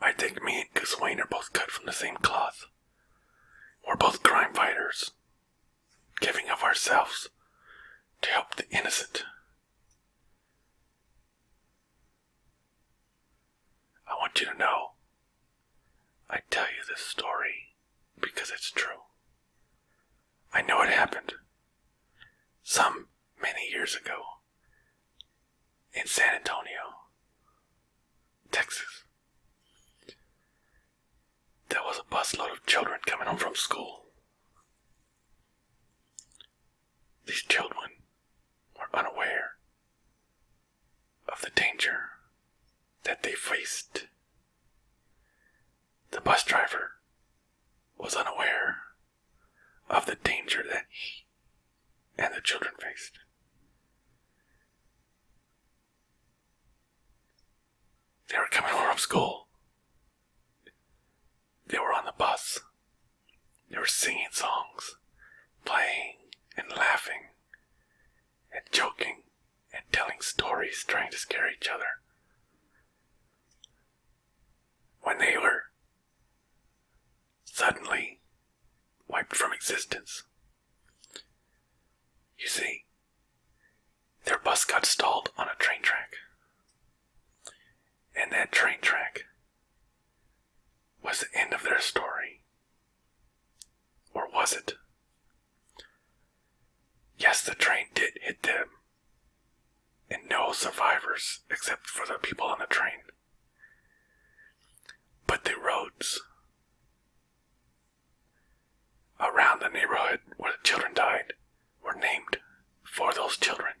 I think me and Gus Wayne are both cut from the same cloth. We're both crime fighters, giving of ourselves to help the innocent. I want you to know I tell you this story because it's true. I know it happened some many years ago in San Antonio, Texas. There was a bus load of children coming home from school. These children were unaware of the danger that they faced. The bus driver was unaware of the danger that he and the children faced. They were coming home from school. They were on the bus. They were singing songs, playing and laughing, and joking and telling stories, trying to scare each other. When they were suddenly wiped from existence. You see, their bus got stalled on a train track. And that train track was the end of their story. Or was it? Yes, the train did hit them, and no survivors except for the people on the train. But the roads around the neighborhood where the children died were named for those children.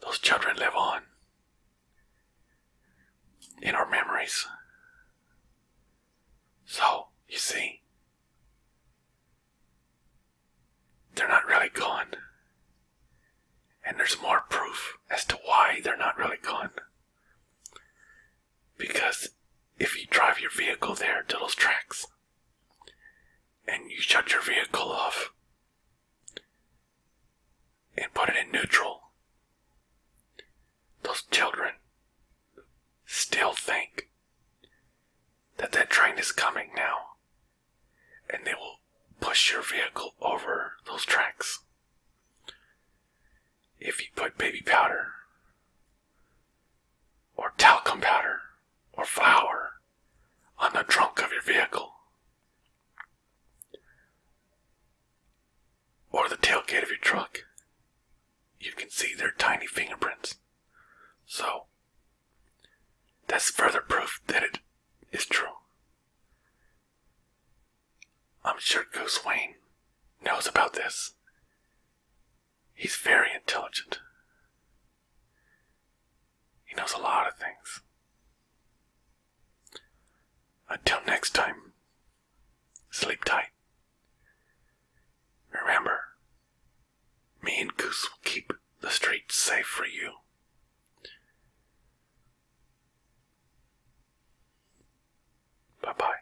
Those children live on in our memories. So, you see, they're not really gone. And there's more proof as to why they're not really gone. Because if you drive your vehicle there to those tracks and you shut your vehicle off, and put it in neutral, those children still think that that train is coming now, and they will push your vehicle over those tracks. If you put baby powder, or talcum powder, or flour on the trunk of your vehicle, or the tailgate of your truck, you can see their tiny fingerprints. So, that's further proof that it is true. I'm sure Goose Wayne knows about this. He's very intelligent. He knows a lot of things. Until next time, sleep tight. Remember, me and Goose will keep the streets safe for you. Bye bye.